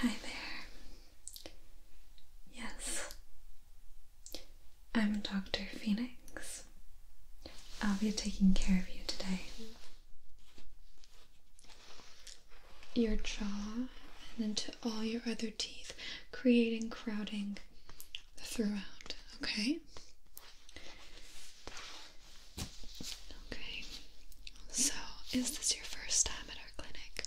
Hi there. Yes, I'm Dr. Phoenix. I'll be taking care of you today. Your jaw and into all your other teeth, creating crowding throughout, okay? Okay, so is this your first time at our clinic?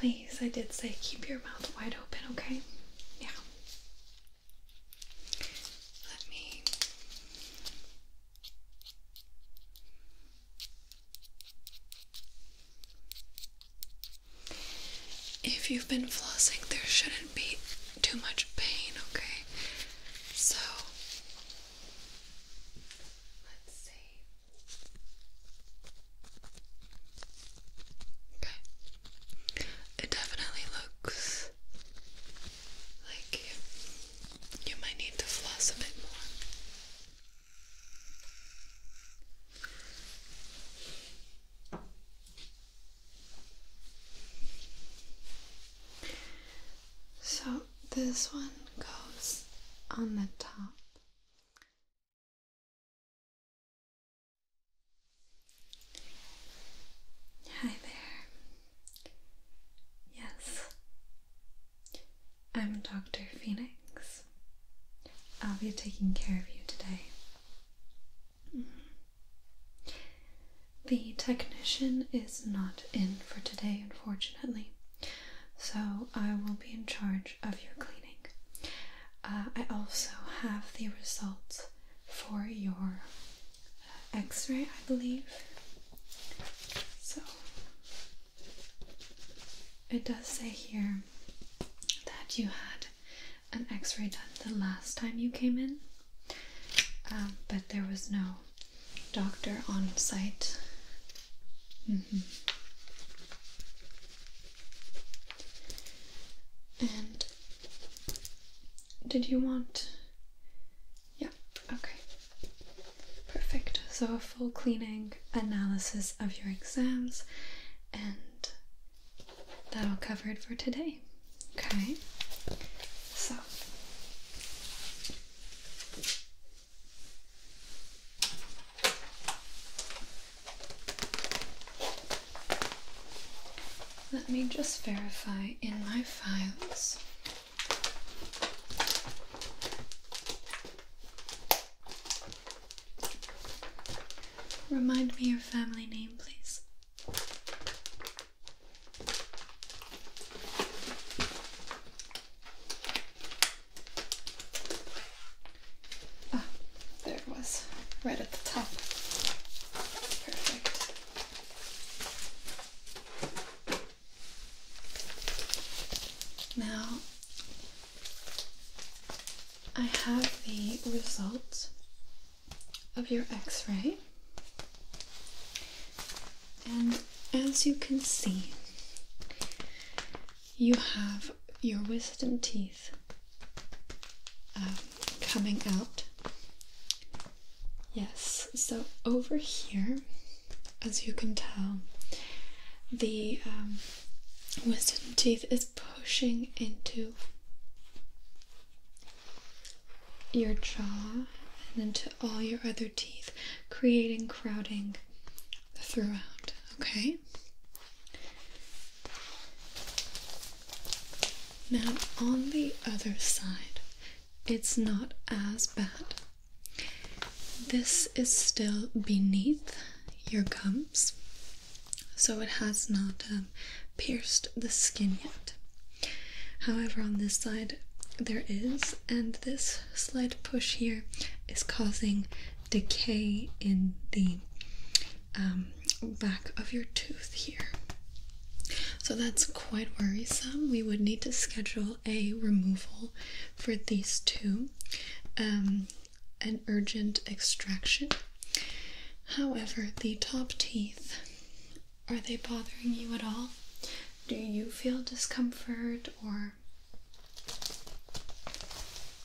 Please, I did say keep your mouth wide open, okay? Yeah. Let me. If you've been flossing, there shouldn't be too much pain, okay? So, let's see. Okay. It definitely looks like you, might need to floss a bit more. So this one goes on the top. Hi there. Yes, I'm Dr. Phoenix. I'll be taking care of you today. Mm-hmm. The technician is not in for today, unfortunately, so I will be in charge of your cleaning. Uh, I also have the results for your uh, x ray, I believe. So it does say here that you had an x ray done the last time you came in. Um, but there was no doctor on site. Mm-hmm. And did you want? Yeah, okay. Perfect. So, a full cleaning analysis of your exams, and that'll cover it for today. Okay, so let me just verify in my files. Remind me your family name, please. Ah, there it was, right at the top. Perfect. Now I have the results of your x-ray and as you can see you have your wisdom teeth um, coming out yes so over here as you can tell the um, wisdom teeth is pushing into your jaw and into all your other teeth, creating crowding throughout. Okay? Now, on the other side, it's not as bad. This is still beneath your gums, so it has not um, pierced the skin yet. However, on this side there is, and this slight push here is causing decay in the um, back of your tooth here. So that's quite worrisome. We would need to schedule a removal for these two, um, an urgent extraction. However, the top teeth are they bothering you at all? Do you feel discomfort or.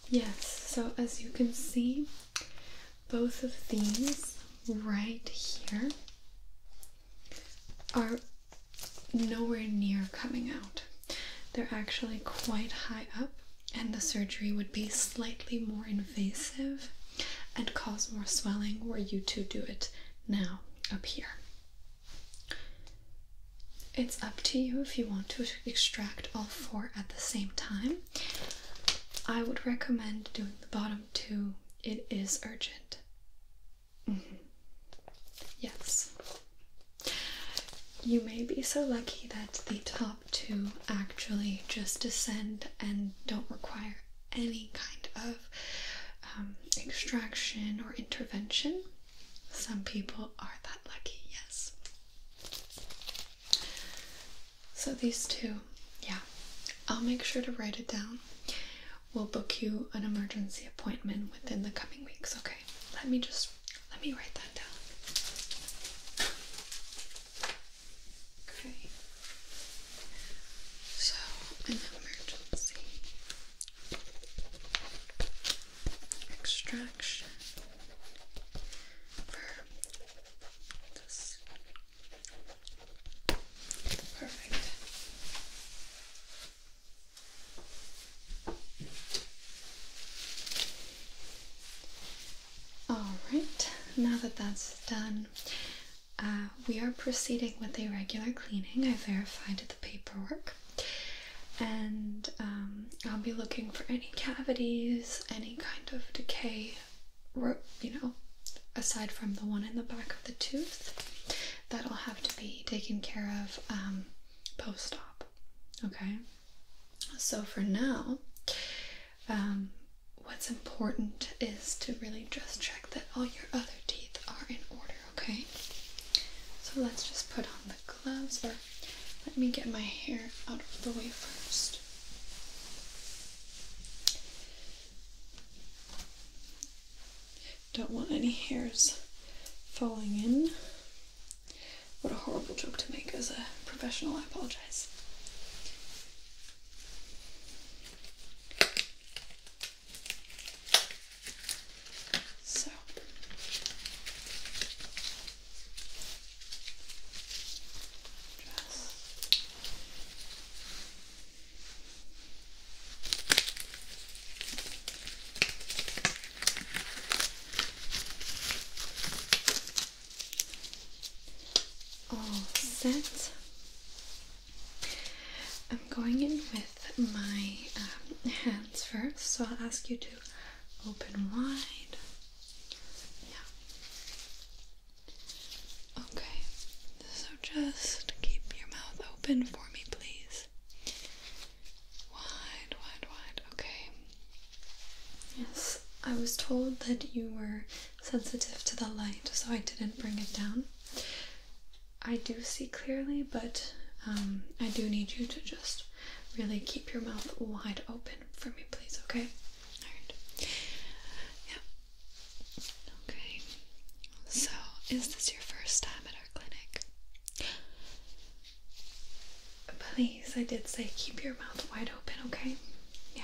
Yes, so as you can see, both of these right here are nowhere near coming out. They're actually quite high up, and the surgery would be slightly more invasive invasive and cause more swelling were you to do it now up here. It's up to you if you want to extract all four at the same time. I would recommend doing the bottom two, it is urgent. Mm-hmm. Yes. You may be so lucky that the top two actually just descend and don't require any kind of um, extraction or intervention. Some people are that lucky, yes. So these two, yeah, I'll make sure to write it down. We'll book you an emergency appointment within the coming weeks, okay? Let me just let me write that down. Okay. So, an emergency extraction Perfect. All right, now that that's done, uh, we are proceeding with a regular cleaning. I verified the paperwork. And um, I'll be looking for any cavities, any kind of decay, you know, aside from the one in the back of the tooth. That'll have to be taken care of um, post op. Okay? So for now, um, what's important is to really just check that all your other teeth are in order, okay? So let's just put on the gloves, or let me get my hair out of the way first. Don't want any hairs falling in. What a horrible joke to make as a professional, I apologize. So just all set. I'm going in with my um, hands first, so I'll ask you to open wide. Yeah. Okay, so just keep your mouth open for me, please. Wide, wide, wide. Okay. Yes, I was told that you were sensitive to the light, so I didn't bring it down. I do see clearly, but um, I do need you to just really keep your mouth wide open for me, please, okay? Alright. Yeah. Okay. So, is this your first time at our clinic? Please, I did say keep your mouth wide open, okay? Yeah.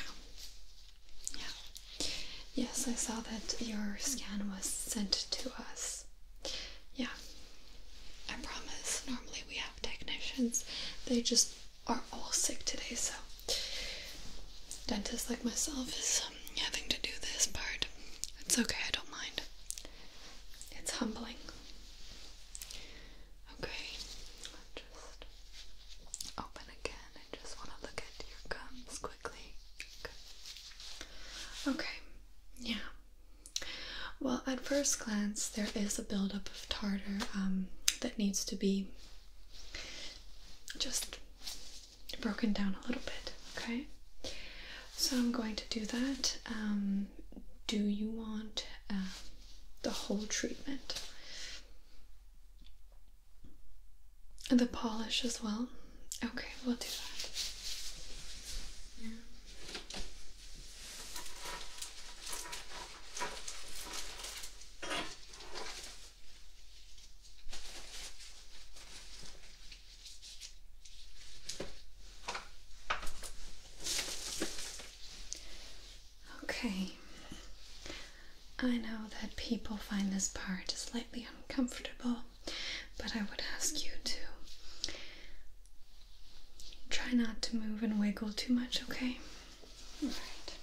Yeah. Yes, I saw that your scan was sent to us. Yeah. I promise. Normally we have technicians. They just are all sick today, so dentist like myself is um, having to do this part. It's okay, I don't mind. It's humbling. Okay, just open again. I just want to look at your gums quickly. Okay. yeah. Well, at first glance, there is a buildup of tartar um, that needs to be just broken down a little bit, okay? So I'm going to do that. Um, do you want uh, the whole treatment? The polish as well? Okay, we'll do that. Okay, I know that people find this part slightly uncomfortable, but I would ask you to try not to move and wiggle too much, okay? All right.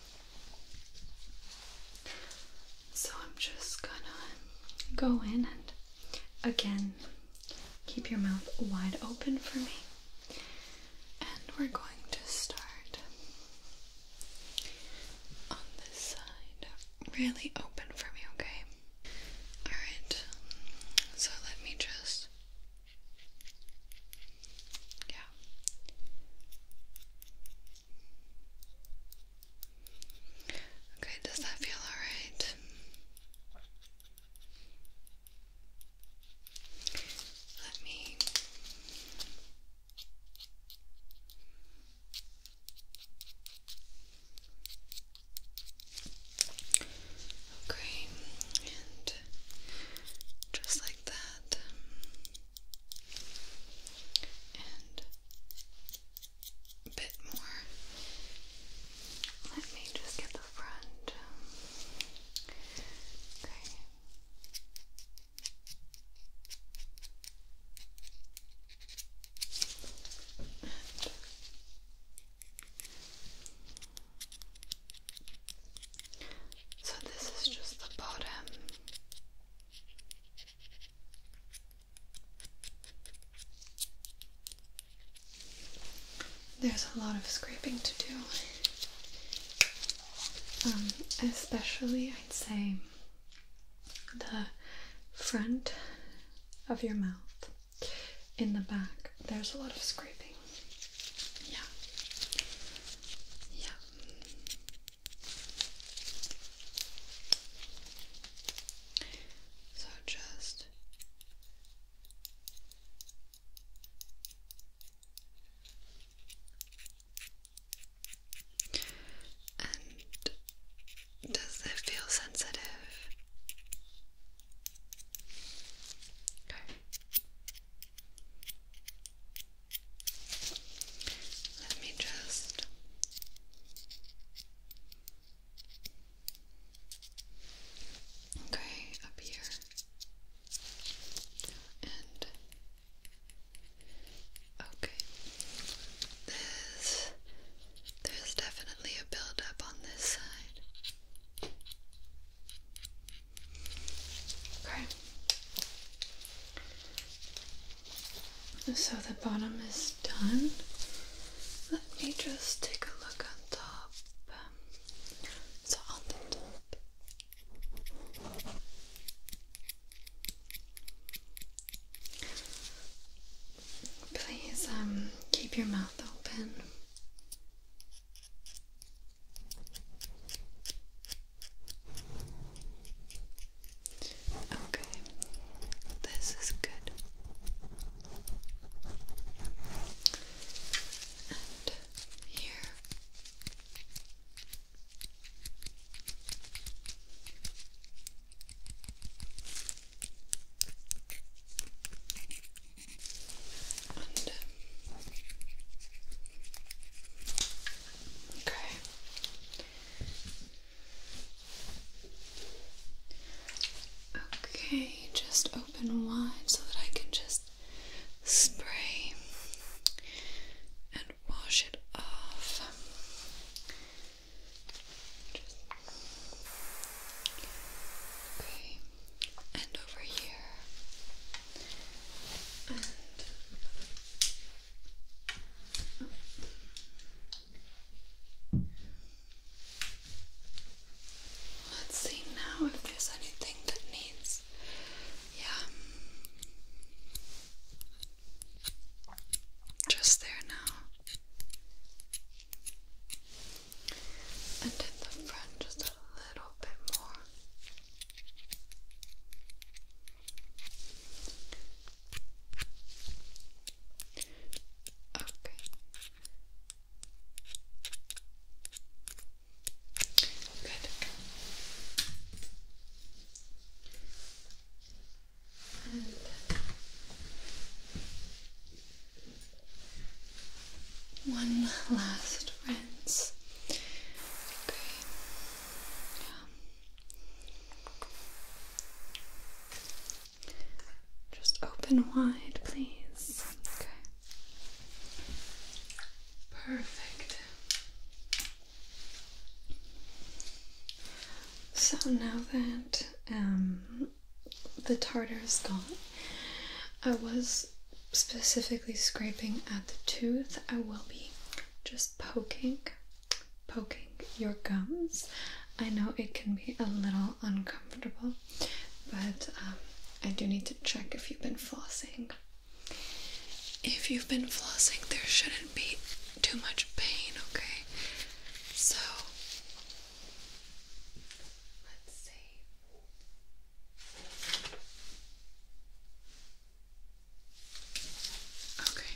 So I'm just gonna go in and again keep your mouth wide open for me. And we're going to start on this side really open for me, okay? Alright, so let me just. Yeah. Okay, does that feel alright? Let me Okay, and just like that, and a bit more. Let me just get the front. Um, okay. So this is just the bottom. There's a lot of scraping to do, um, especially I'd say the front of your mouth. In the back, there's a lot of scraping. Yeah. Yeah. So just does it feel sensitive? Okay. Let me just Okay, up here and Okay. There's there's definitely a buildup on this side. Okay. So the bottom is done. Let me just take a look on top. so on the top. Please um, keep your mouth open. Okay. This is good. And here okay. Okay, just open wide so that I can just spray and wash it off. Just... Okay, and over here, and oh. let's see now if there's anything that needs, yeah. Just there now. And in the front, just a little bit more. Okay. Good one last rinse. Okay. Yeah. Just open wide, please. Okay. Perfect. So now that um, the tartar is gone, I was specifically scraping at the tooth. I will be just poking, poking your gums. I know it can be a little uncomfortable, but um, I do need to check if you've been flossing. If you've been flossing, there shouldn't be too much pain, okay? So, let's see. Okay.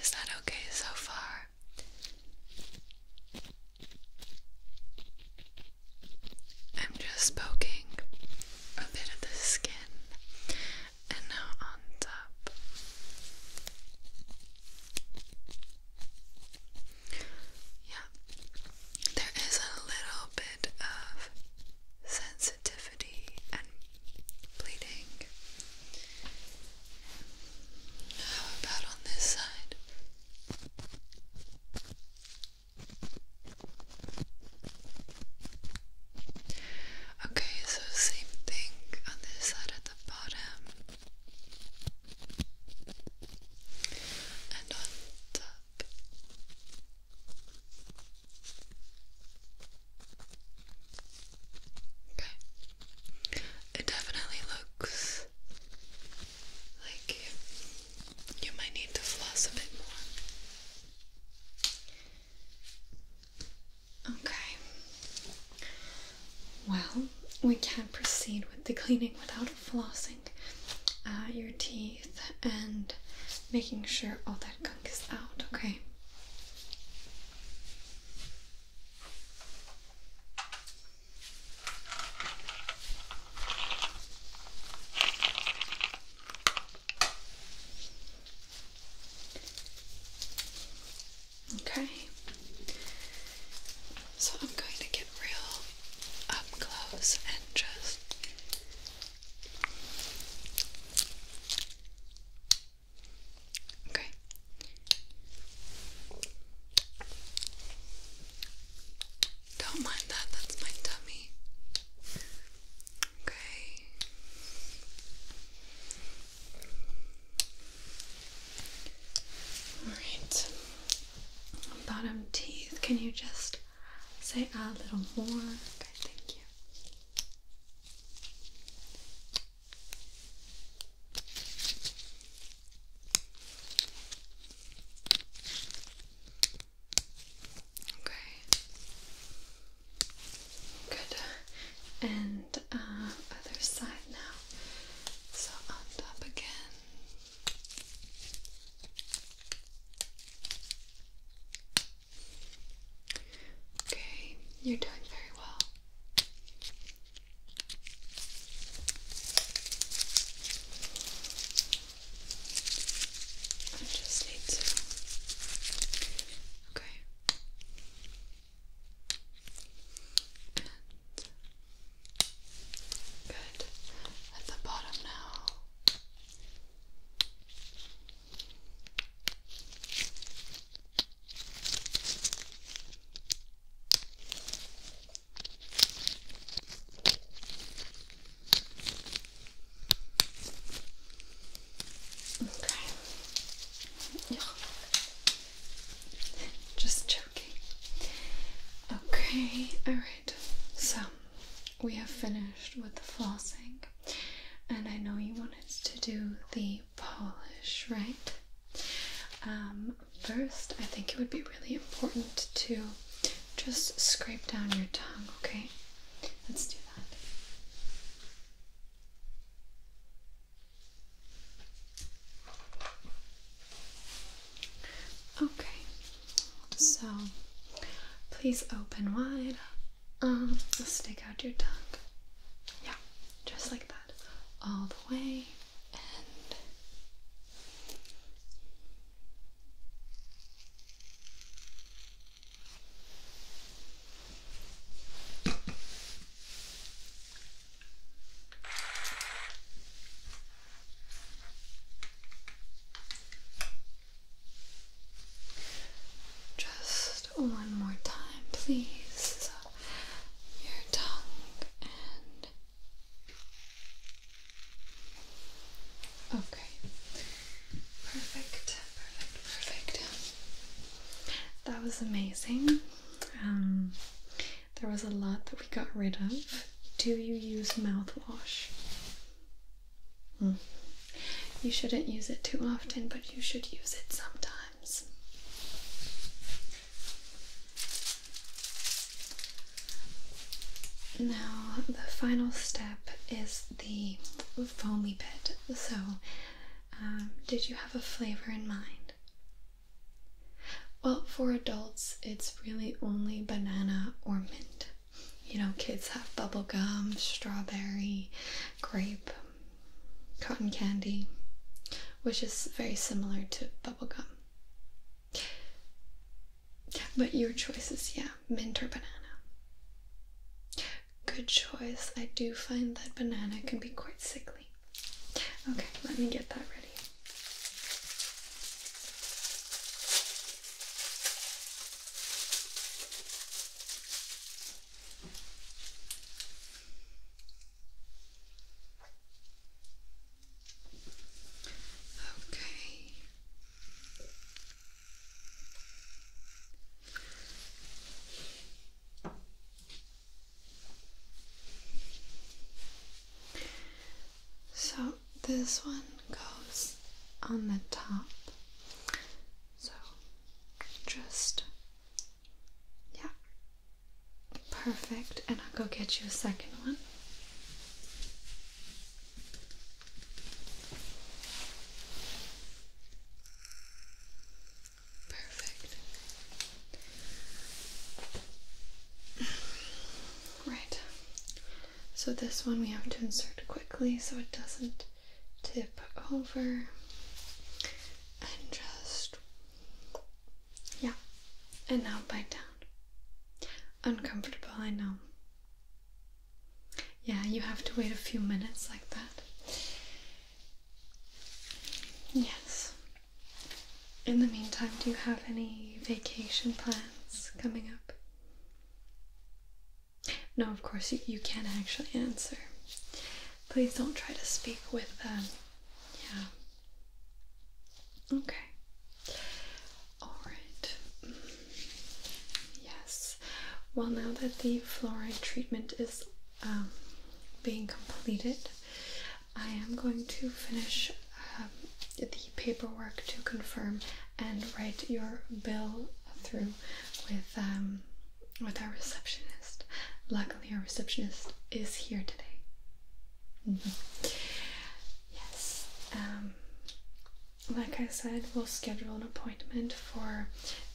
Is that okay so far? I'm just poking a bit of the skin and now on top. Yeah, there is a little bit of sensitivity and bleeding. How about on this side? Okay, so same thing on this side at the bottom and on top. Okay, it definitely looks like you might need to floss a bit more. Okay. Well, we can not proceed with the cleaning without flossing uh, your teeth and making sure all that gunk is out, okay? Okay, so I'm going to get real up close and just okay. Don't mind that, that's my tummy. Okay. Alright. Bottom teeth, can you just say a little more? Okay, thank you. Okay. Good. And uh, other side now. So on top again. Okay, you're doing very well. I just need to. Okay. good. At the bottom now. Okay. Just joking. Okay, alright. So, we have finished with the flossing, and I know you wanted to do the polish, right? Um, first, I think it would be really important to just scrape down your tongue, okay? Let's do that. Okay, so please open wide. Um, stick out your tongue. Yeah, just like that. All the way just one more time, please. your tongue and Okay. Perfect. Perfect. Perfect. That was amazing. Um, there was a lot that we got rid of. Do you use mouthwash? Hmm. You shouldn't use it too often, but you should use it sometimes. Now, the final step is the foamy bit. So, um, did you have a flavor in mind? Well, for adults, it's really only banana or mint. You know, kids have bubblegum, strawberry, grape, cotton candy, which is very similar to bubblegum. But your choice is, yeah, mint or banana. Good choice. I do find that banana can be quite sickly. Okay, let me get that ready. Okay. So this one goes on the top. So just yeah. Perfect. And I'll go get you a second one. Perfect. Right. So this one we have to insert quickly so it doesn't tip over. And just yeah. And now bite down. Uncomfortable, I know. Yeah, you have to wait a few minutes like that. Yes. In the meantime, do you have any vacation plans coming up? No, of course, you, you can actually answer. Please don't try to speak with them. Yeah. Okay. Alright. Yes. Well, now that the fluoride treatment is um, being completed, I am going to finish um, the paperwork to confirm and write your bill through with um, with our receptionist. Luckily, our receptionist is here today. Mm-hmm. Yes. Um, like I said, we'll schedule an appointment for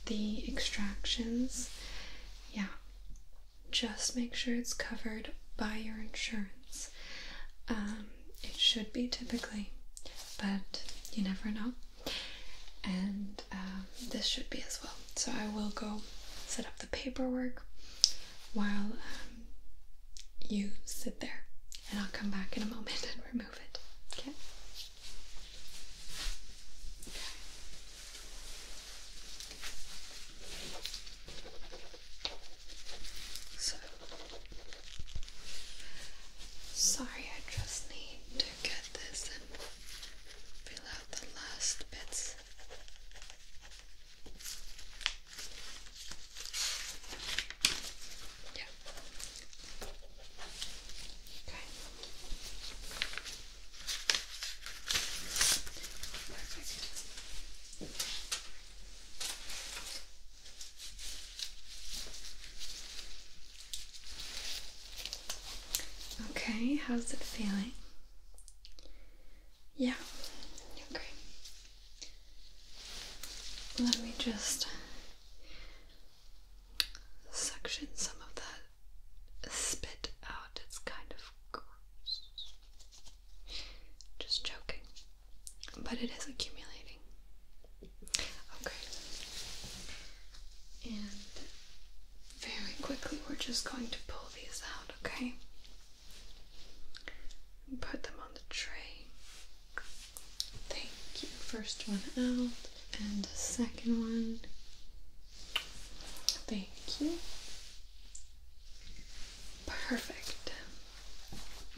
the extractions. Yeah, just make sure it's covered by your insurance. Um, it should be typically, but you never know. And um, this should be as well. So I will go set up the paperwork while um, you sit there and I'll come back in a moment and remove it. Okay. okay. So sorry, I just need to get this and fill out the last bits. Okay. Okay, how's it feeling? Yeah, okay. Let me just suction some of that spit out. It's kind of gross. Just joking. But it is accumulating. Okay. And very quickly, we're just going to pull these out, okay? Put them on the tray. Thank you. First one out and second one. Thank you. Perfect.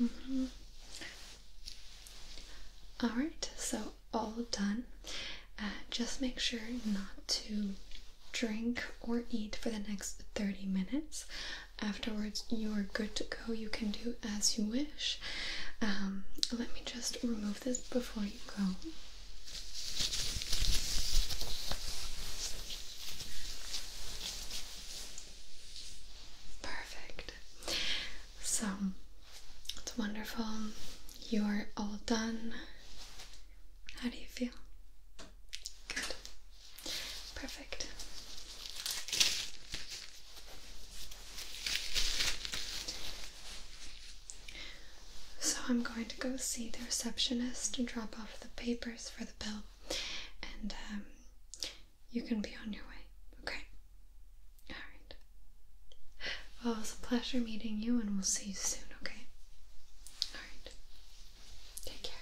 Mm-hmm. Alright, so all done. Uh, just make sure not to drink or eat for the next 30 minutes. Afterwards, you are good to go. You can do as you wish. Um, let me just remove this before you go. Perfect. So it's wonderful. You are all done. How do you feel? Good. Perfect. So I'm going to go see the receptionist and drop off the papers for the bill, and um, you can be on your way, okay? Alright. Well, it was a pleasure meeting you, and we'll see you soon, okay? Alright. Take care.